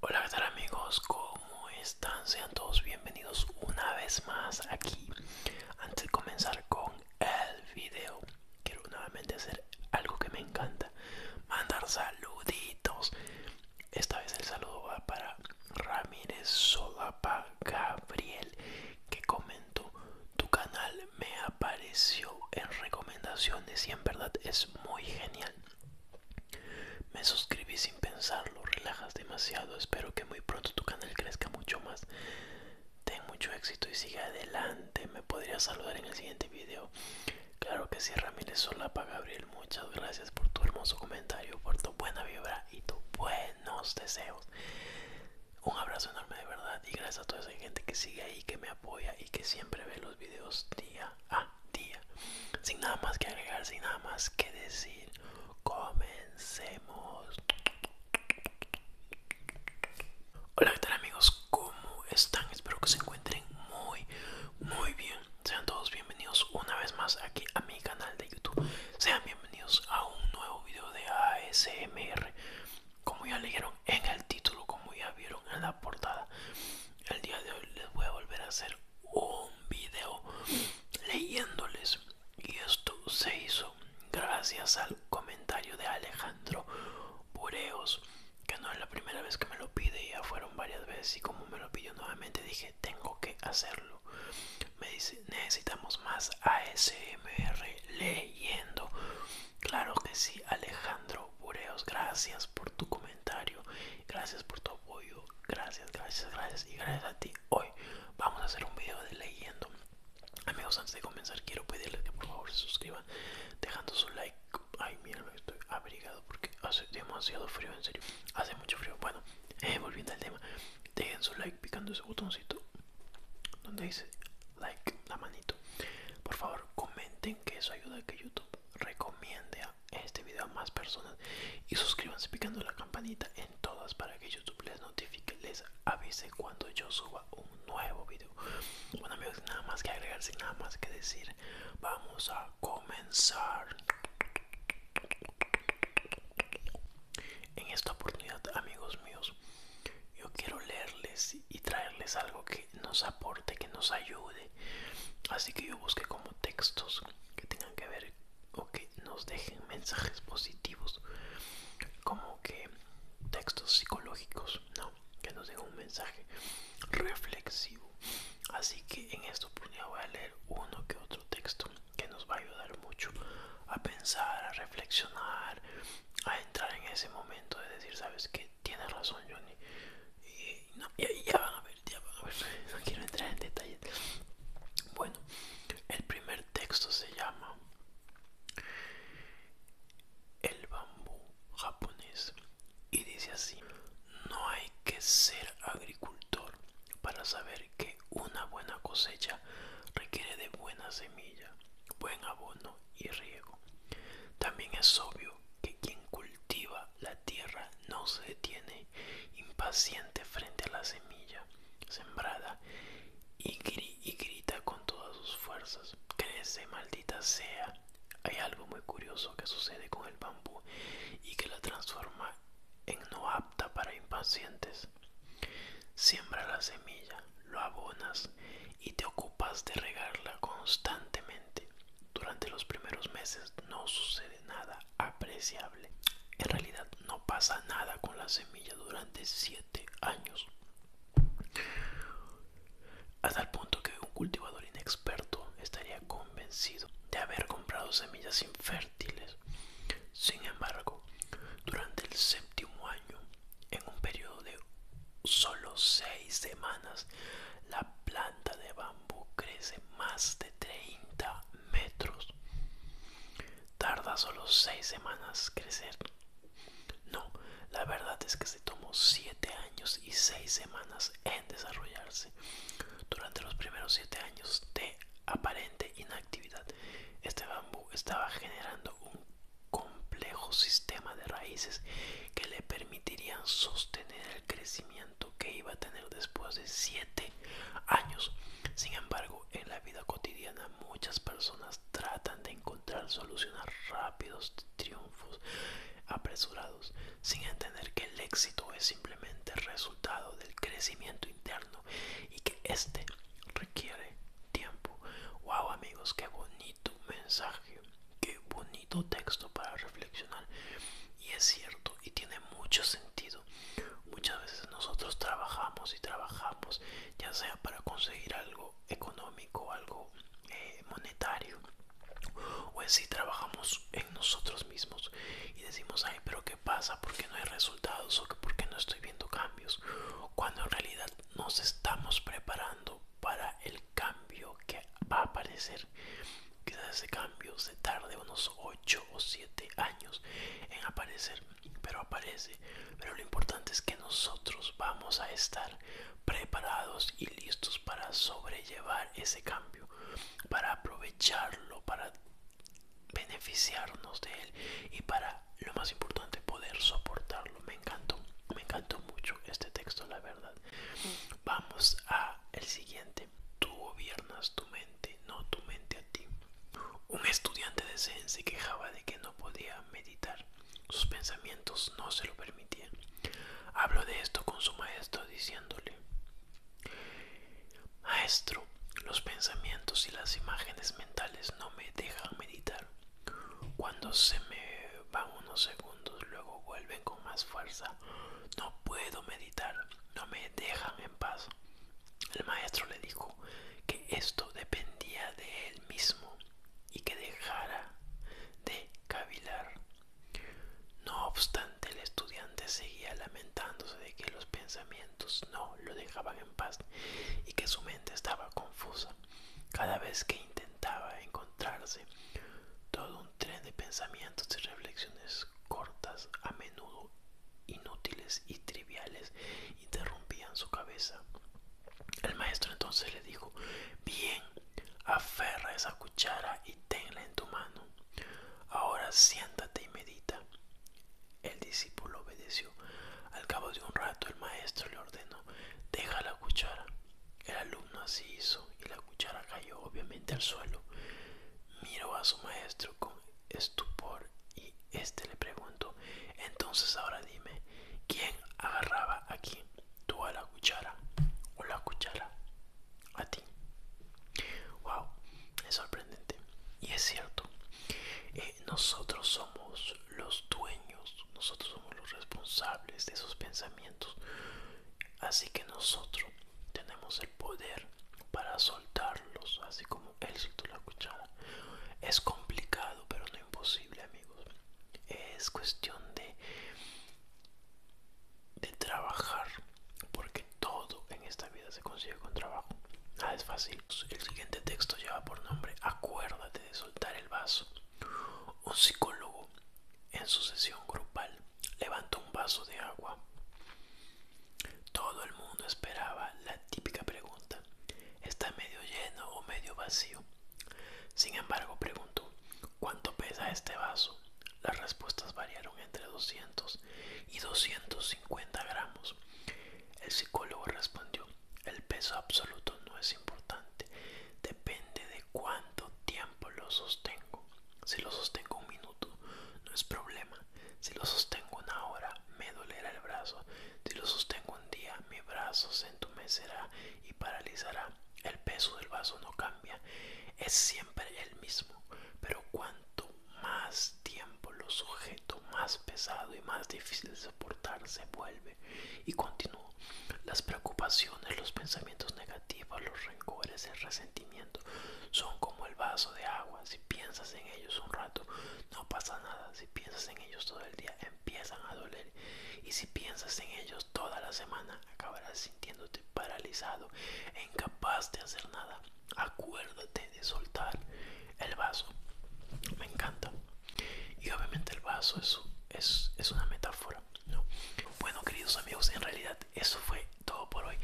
Hola, que tal amigos? ¿Cómo están? Sean todos bienvenidos una vez más aquí. Antes de comenzar con el video, quiero nuevamente hacer algo que me encanta. Mandar saluditos. Esta vez el saludo va para Ramírez Solapa Gabriel, que comentó, tu canal me apareció en recomendaciones y en verdad es muy genial. Me suscribí sin pensarlo, relajas demasiado, espero que muy pronto tu canal crezca mucho más. Ten mucho éxito y sigue adelante. Me podrías saludar en el siguiente video. Claro que sí, Ramírez Solapa Gabriel. Muchas gracias por tu hermoso comentario, por tu buena vibra y tus buenos deseos. Un abrazo enorme de verdad y gracias a toda esa gente que sigue ahí, que me apoya y que siempre ve los videos día a día día. Sin nada más que agregar, sin nada más que decir, comencemos. Hola, ¿qué tal amigos? ¿Cómo están? Espero que se encuentren muy, muy bien. Sean todos bienvenidos una vez más aquí a mi canal de YouTube. Sean bienvenidos a un nuevo video de ASMR. Como ya leyeron en el título, como ya vieron en la portada, el día de hoy les voy a volver a hacer un video leyéndoles y esto se hizo gracias al comentario de Alejandro Bureos que no es la primera vez que me lo pide ya fueron varias veces y como me lo pidió nuevamente dije tengo que hacerlo me dice necesitamos más ASMR leyendo claro que sí Alejandro Bureos gracias por tu comentario comentario. Gracias por tu apoyo. Gracias, gracias, gracias. Y gracias a ti. Hoy vamos a hacer un video de leyendo. Amigos, antes de comenzar, quiero pedirles que por favor se suscriban dejando su like. Ay, mira, estoy abrigado porque hace demasiado frío, en serio. Hace mucho frío. Bueno, eh, volviendo al tema, dejen su like picando ese botoncito donde dice like, la manito. Por favor, comenten que eso ayuda a que YouTube recomiende este video a más personas y suscríbanse picando la campanita en todas para que YouTube les notifique, les avise cuando yo suba un nuevo vídeo, Bueno amigos, nada más que agregar, sin nada más que decir, vamos a comenzar. En esta oportunidad, amigos míos, yo quiero leerles y traerles algo que nos aporte, que nos ayude. Así que yo busqué como textos que tengan que ver o que nos dejen mensajes positivos, como que textos psicológicos, ¿no? Que nos dejen un mensaje reflexivo. Así que en esto oportunidad pues, voy a leer uno que otro texto que nos va a ayudar mucho a pensar, a reflexionar, a entrar en ese momento de decir, ¿sabes qué? Tienes razón Johnny. Y, ya van a ver, ya van a ver. No quiero entrar en detalles. Bueno, el primer texto se llama El bambú japonés y dice así, no hay que ser agricultor para saber que una buena cosecha requiere de buena semilla, buen abono y riego. También es obvio que quien cultiva la tierra no se detiene impaciente frente a la semilla sembrada y, y grita con todas sus fuerzas. Crece, maldita sea. Hay algo muy curioso que sucede con el bambú y que la transforma en no apta para impacientes. Siembra la semilla, lo abonas y te ocupas de regarla constantemente. Durante los primeros meses no sucede nada apreciable. En realidad no pasa nada con la semilla durante 7 años. Hasta el punto que un cultivador inexperto estaría convencido de haber comprado semillas infértiles. Sin embargo, durante el séptimo año, en un periodo de solo 6 semanas, la planta de crece más de 30 metros. Tarda solo 6 semanas crecer. No, la verdad es que se tomó 7 años y 6 semanas en desarrollarse. Durante los primeros 7 años de aparente inactividad, este bambú estaba generando un complejo sistema de raíces que le permitirían sostener el crecimiento que iba a tener después de 7 años. Sin embargo, en la vida cotidiana muchas personas tratan de encontrar soluciones rápidos, triunfos apresurados, sin entender que el éxito es simplemente resultado del crecimiento interno y que este requiere tiempo. ¡Wow amigos! ¡Qué bonito mensaje! Qué bonito texto para reflexionar. Y es cierto, y tiene mucho sentido. Muchas veces nosotros trabajamos y trabajamos, ya sea para conseguir algo económico, algo eh, monetario, o en sí trabajamos en nosotros mismos y decimos, ay, pero ¿qué pasa? ¿Por qué no hay resultados? ¿O por qué no estoy viendo cambios? Cuando en realidad nos estamos preparando para el cambio que va a aparecer. Quizás ese cambio se tarde unos 8 o 7 años en aparecer, pero aparece. Pero lo importante es que nosotros vamos a estar preparados y listos para sobrellevar ese cambio, para aprovecharlo, para beneficiarnos de él y para lo más importante poder soportarlo me encantó me encantó mucho este texto la verdad mm. vamos a el siguiente Tú gobiernas tu mente, no tu mente a ti. Un estudiante de Zen se quejaba de que no podía meditar. Sus pensamientos no se lo permitían. Habló de esto con su maestro diciéndole, Maestro, los pensamientos y las imágenes mentales no me dejan meditar. Cuando se me van unos segundos, luego vuelven con más fuerza. No puedo meditar, no me dejan en paz. El maestro le dijo que esto dependía de él mismo y que dejara de cavilar. No obstante, el estudiante seguía lamentándose de que los pensamientos no lo dejaban en paz y que su mente estaba confusa. Cada vez que intentaba encontrarse, todo tren de pensamientos y reflexiones cortas, a menudo inútiles y triviales, interrumpían su cabeza. El maestro entonces le dijo, bien, aferra esa cuchara y tenla en tu mano. Ahora siéntate y medita. El discípulo obedeció. Al cabo de un rato el maestro le ordenó, deja la cuchara el alumno así hizo y la cuchara cayó obviamente al suelo. Miró a su maestro con estupor y este le preguntó, entonces ahora dime, ¿quién agarraba aquí? ¿Tú a la cuchara o la cuchara a ti? ¡Wow! Es sorprendente. Y es cierto, eh, nosotros somos los dueños, nosotros somos los responsables de esos pensamientos. Así que nosotros tenemos el poder para soltarlos, así como él soltó la cuchara. Es complicado, pero no imposible, amigos. Es cuestión de, de trabajar, porque todo en esta vida se consigue con trabajo. Nada ah, es fácil. El siguiente texto lleva por nombre Acuérdate de soltar el vaso. Un psicólogo en su sesión grupal levantó un vaso de agua. Todo el mundo esperaba la típica pregunta, ¿está medio lleno o medio vacío? Sin embargo, preguntó, ¿cuánto pesa este vaso? Las respuestas variaron entre 200 y 250 gramos. El psicólogo respondió, el peso absoluto no es importante, depende de cuánto tiempo lo sostengo. Si lo sostengo un minuto, no es problema. Si lo sostengo una hora, me dolerá el brazo. Si lo sostengo un día, mi brazo se entumecerá y paralizará. El peso del vaso no cambia, es siempre el mismo. Pero cuanto más tiempo lo sujeto, más pesado y más difícil de soportar se vuelve. Y continúo. Las preocupaciones, los pensamientos negativos, los rencores, el resentimiento sentimientos son como el vaso de agua. Si piensas en ellos un rato, no pasa nada. Si piensas en ellos todo el día, empiezan a doler. Y si piensas en ellos toda la semana, acabarás sintiéndote paralizado e incapaz de hacer nada. Acuérdate de soltar el vaso. Me encanta. Y obviamente el vaso es, es, una metáfora. ¿no? Bueno, queridos amigos, en realidad eso fue todo por hoy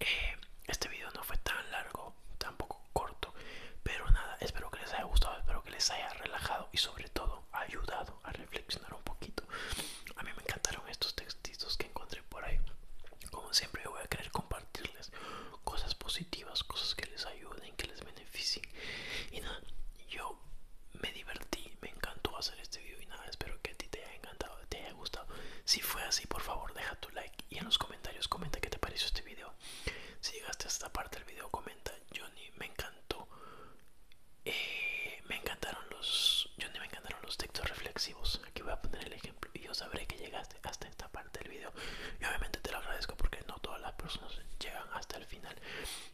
eh, este video no fue tan largo tampoco corto pero nada espero que les haya gustado espero que les haya relajado y sobre todo ayudado a reflexionar un poquito a mí me encantaron estos textitos que encontré por ahí como siempre yo voy a querer compartirles cosas positivas cosas que les ayuden que les beneficien y nada yo me divertí me encantó hacer este video y nada espero que a ti te haya te haya gustado. Si fue así, por favor, deja tu like y en los comentarios comenta qué te pareció este video. Si llegaste hasta esta parte del video, comenta Johnny, me encantó. Eh, me encantaron los Johnny, me encantaron los textos reflexivos. Aquí voy a poner el ejemplo y yo sabré que llegaste hasta esta parte del video. Y obviamente te lo agradezco porque no todas las personas llegan hasta el final.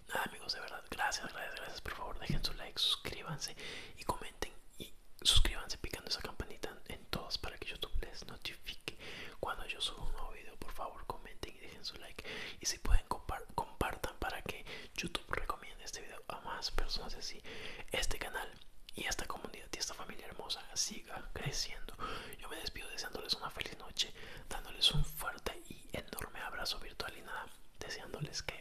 Nada, amigos, de verdad, gracias, gracias, gracias. Por favor, dejen su like, suscríbanse y comenten y suscríbanse picando esa campanita en todas para que YouTube les notifique cuando yo subo un nuevo video. Por favor, comenten y dejen su like. Y si pueden, compartan para que YouTube recomiende este video a más personas. Así, este canal y esta comunidad y esta familia hermosa siga creciendo. Yo me despido deseándoles una feliz noche, dándoles un fuerte y enorme abrazo virtual y nada, deseándoles que